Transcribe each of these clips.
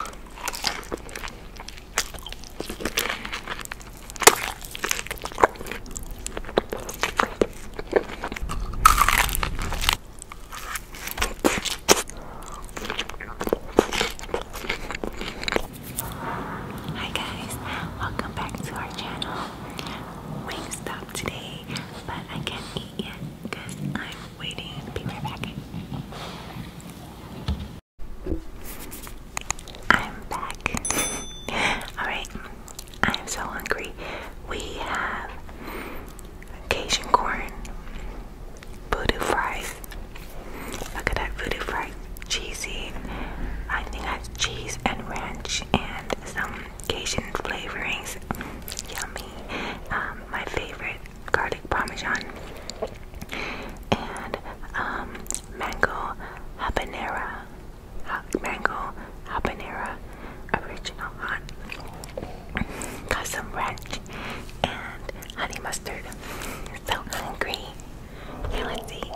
Hi guys, welcome back to our channel. Wingstop today, but I can't eat yet because I'm waiting. Be right back. I'm back. Alright, I'm so hungry. We have Cajun corn, voodoo fries. Look at that voodoo fries, Cheesy. I think that's cheese and ranch and some Cajun flavorings. Yummy. Um, my favorite garlic parmesan and um, mango habanera, mango habanera original hot. Got some ranch and honey mustard. So hungry. Now let's eat.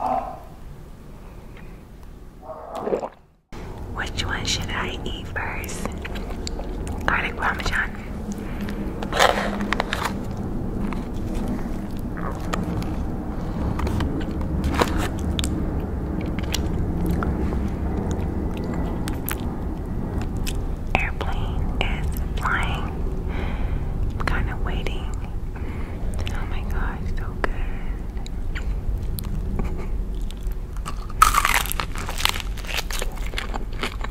Which one should I eat first? Garlic parmesan Airplane is flying. I'm kind of waiting. Oh my gosh, so good.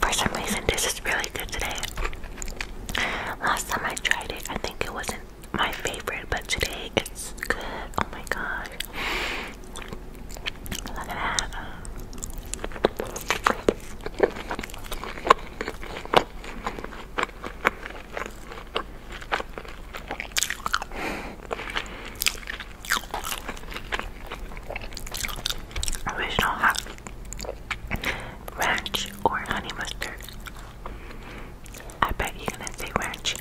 For some reason, this is really good today. Last time I tried it, I think it wasn't my favorite, but today it's good. Oh my god! Look at that. Original ranch or honey mustard. I bet you're gonna say ranch.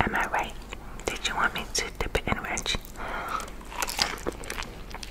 Am I right? Did you want me to dip it in ranch?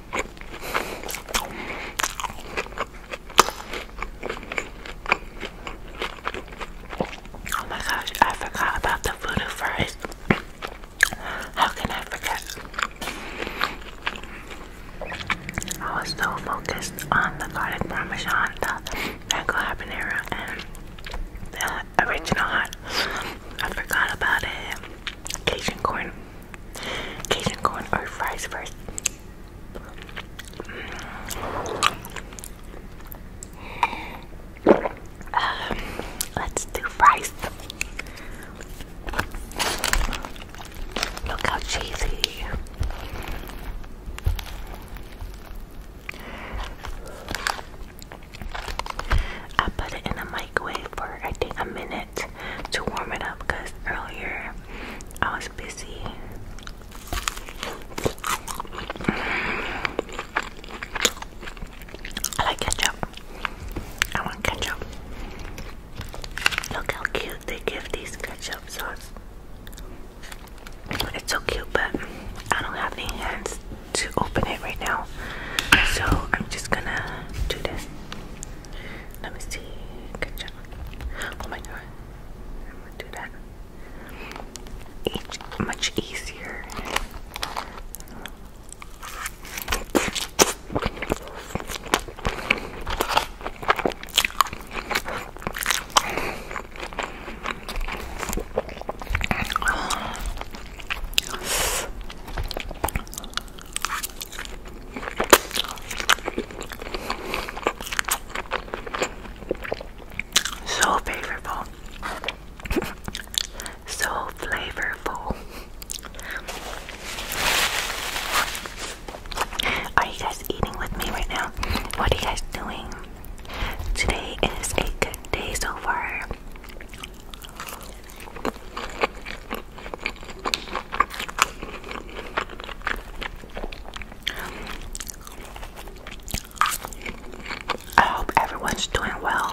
Oh my gosh, I forgot about the voodoo fries. How can I forget? I was so focused on the garlic parmesan, the mango habanero, and the original hot. I forgot about it. Cajun corn. Cajun corn or fries first. Um, let's do fries. Look how cheesy. I put it in the microwave for I think a minute to warm it up because earlier I was busy. I like ketchup. I want ketchup. Look how cute they give these ketchup sauce. It's so cute, but I don't have any hands to open it right now. So I'm just gonna do this. Let me see. Good job. Oh my god. I'm gonna do that. much easier. So favorable. so flavorful. Are you guys eating with me right now? What are you guys doing? Today is a good day so far. I hope everyone's doing well.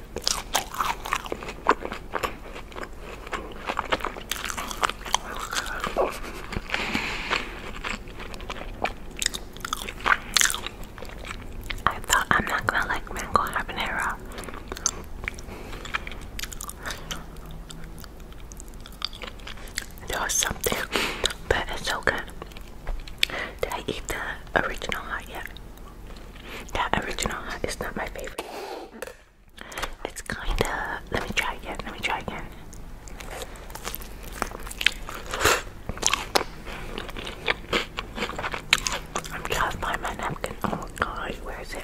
I thought I'm not gonna like mango habanero. There was something, but it's so good. Did I eat the original hot yet? That original hot is not my favorite. It's kind of. Let me try again. Let me try again. I'm trying to find my napkin. Oh my god, where is it?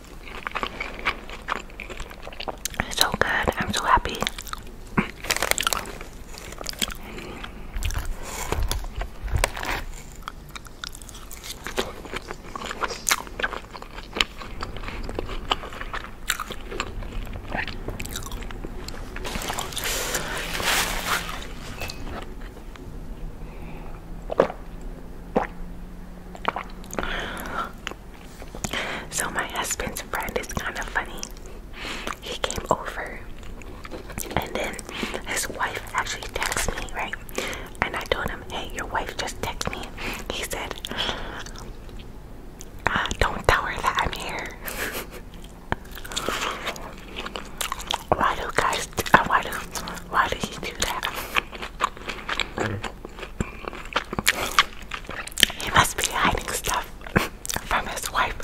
It's so good. I'm so happy. So my husband's friend is kind of funny. He came over, and then his wife actually texted me, right? And I told him, "Hey, your wife just texted me." He said, uh, "Don't tell her that I'm here." why do guys? Uh, why do? Why do you do that? He must be hiding stuff from his wife.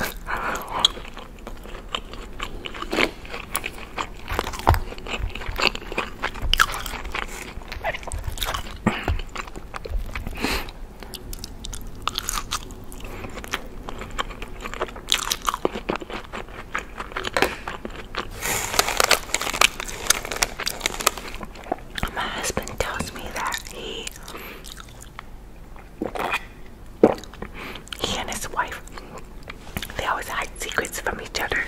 My husband tells me that he he and his wife they always hide secrets from each other.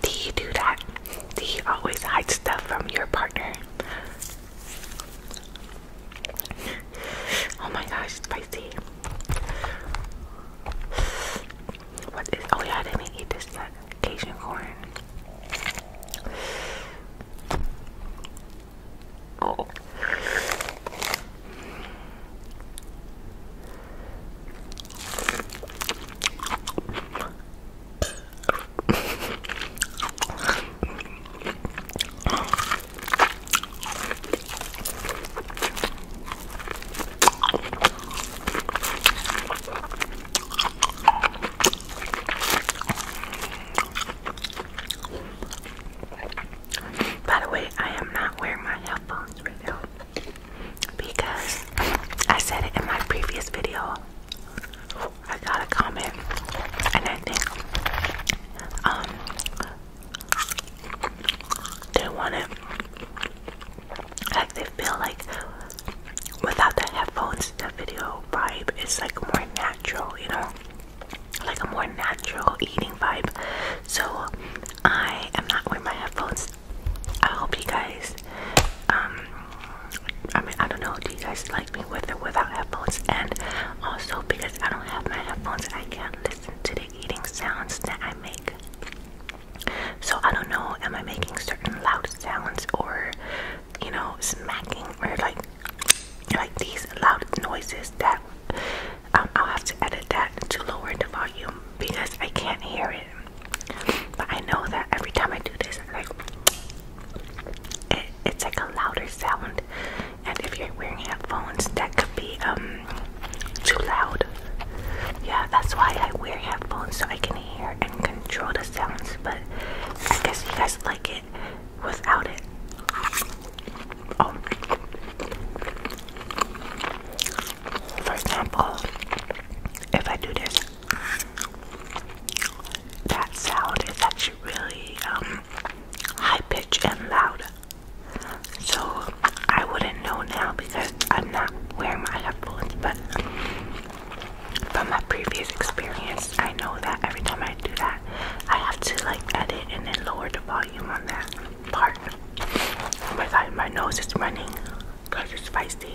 Do you do that? Do you always hide stuff from your partner? Oh my gosh, spicy. What is? Oh yeah, I didn't eat this yet. Cajun corn. Oh. By the way, I am not wearing my headphones right now because I said it in my previous video. I got a comment, and I um, they want it like they feel like without the headphones, the video vibe is like more natural, you know, like a more natural eating vibe. So I am not wearing my headphones. I hope you guys, um, I mean, I don't know, do you guys like me with or without headphones? And also, because I don't have my headphones, I can't listen to the eating sounds that I make. So I don't know, am I making certain loud sounds or you know, smacking or like like these loud noises that um, I'll have to edit that to lower the volume because I can't hear it. But I know that every time I do this, like it's like a louder sound and if you're wearing headphones that could be um, too loud yeah that's why i wear headphones so i can hear and control the sounds but i guess you guys like it without it oh. for example if i do this that sound is actually really um, high pitch and loud so I wouldn't know now because I'm not wearing my headphones, but from my previous experience, I know that every time I do that, I have to like edit and then lower the volume on that part. Oh my god, my nose is running because it's feisty.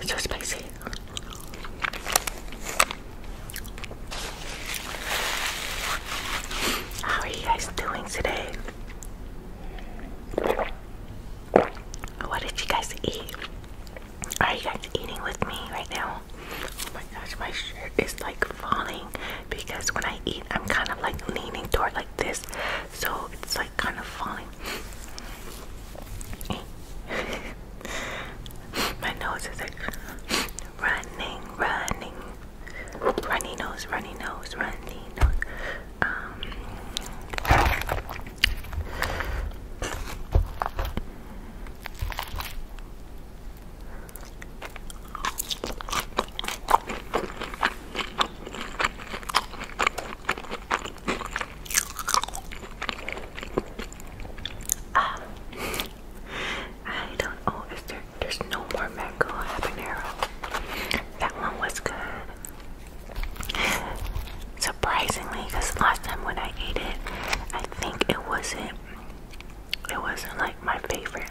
It's so spicy. How are you guys doing today? What did you guys eat? Are you guys eating with me right now? Oh my gosh, my shirt is like falling because when I eat, I'm kind of like leaning toward like this so it's like kind of falling. My nose is like running, running, runny nose, runny nose, runny nose. Um, um, I don't. Oh, is there? There's no more mango habanero. That one was good. Surprisingly, because last time when I ate it, I think it wasn't. It wasn't like my favorite.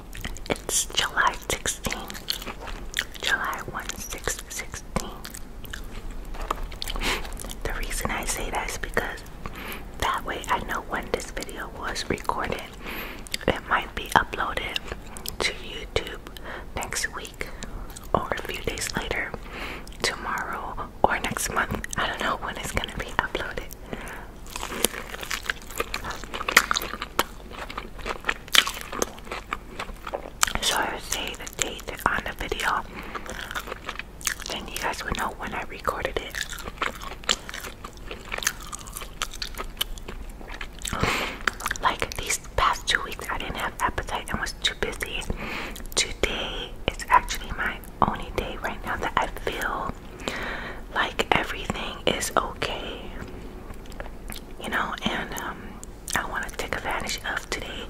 It's July 16. July 1, 6, The reason I say that is because that way I know when this video was recorded. It might be uploaded to YouTube next week or a few days later, tomorrow or next month. I don't know when it's gonna be uploaded. So I would say the date on the video, and you guys would know when I recorded it. Like these past two weeks, I didn't have appetite and was too busy. Today is actually my only day right now that I feel like everything is okay, you know. And um, I want to take advantage of today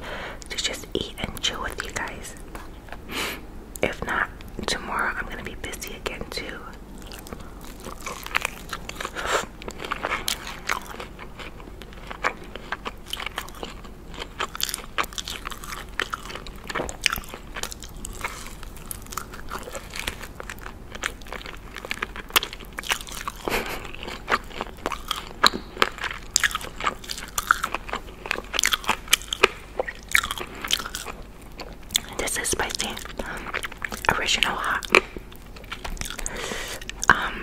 to just eat and chill with you guys. If not, tomorrow I'm gonna be busy again, too. This is spicy, um, original hot. Um,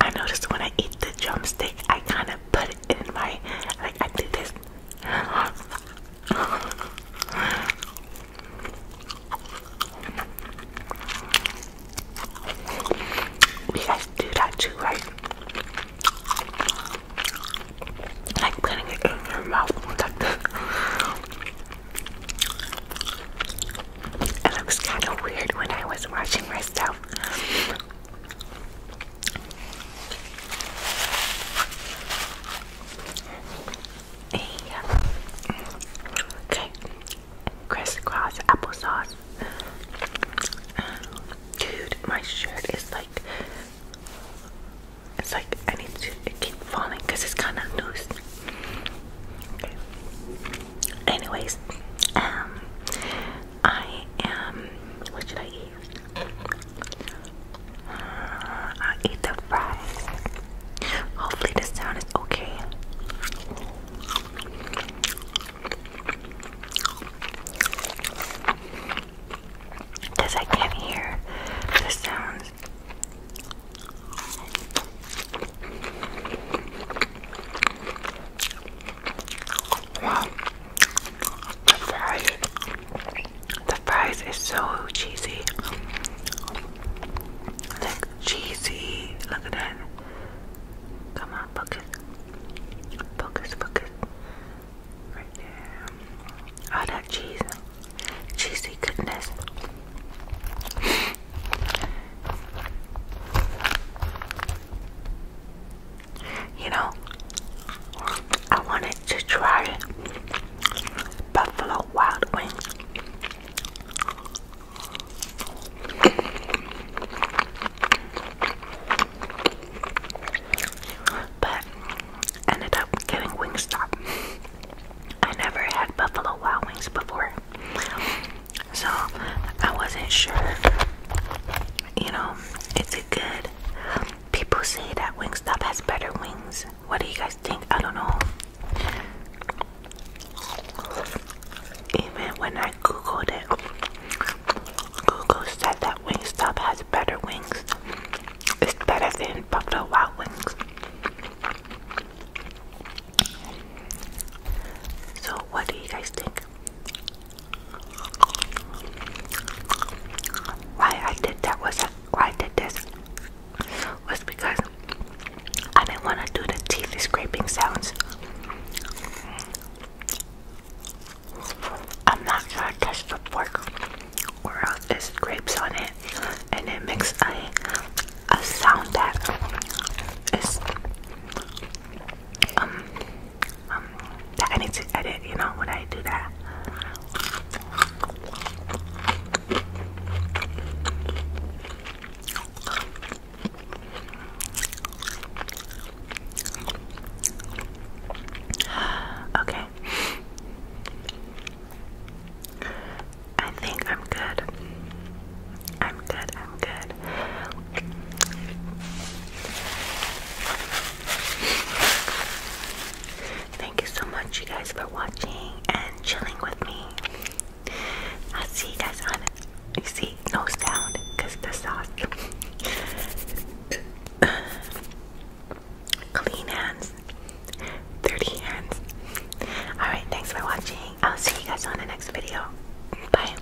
I noticed when I eat the drumstick, I kind of put it in my like I you guys do that too, right? Like putting it in your mouth it was kind of weird when I was watching myself. Okay, crisscross applesauce. Dude, my shirt is like, it's like I need to keep falling because it's kind of loose. Anyways, um, I am. What should I eat? i eat the fries. Hopefully, the sound is okay. Because I can't hear the sounds. Wow. The fries, the fries is so cheesy. Like cheesy. Look at that. Come on, focus. Focus, focus. Right there. All that cheese. Cheesy goodness. You know, I wanted to try Buffalo Wild Wings. But ended up getting Wingstop. I never had Buffalo Wild Wings before. So I wasn't sure. You know, is it good? People say that Wingstop has better wings. What do you guys think? I don't know. Even when I googled it, Google said that Wingstop has better wings. It's better than Buffalo Wild Wings. So, what do you guys think? Why I did that was why I did this was because I didn't want to do the teeth scraping sounds. I'm not gonna touch the fork or else it scrapes on it and it makes a a sound that is um, um, I need to edit, you know, when I do that. Okay. I think I'm good. I'm good. I'm good. Thank you so much, you guys, for watching and chilling with me. I'll see you guys on. You see, no sound because the sauce. Clean hands, dirty hands. Alright, thanks for watching. I'll see you guys on the next video. Bye.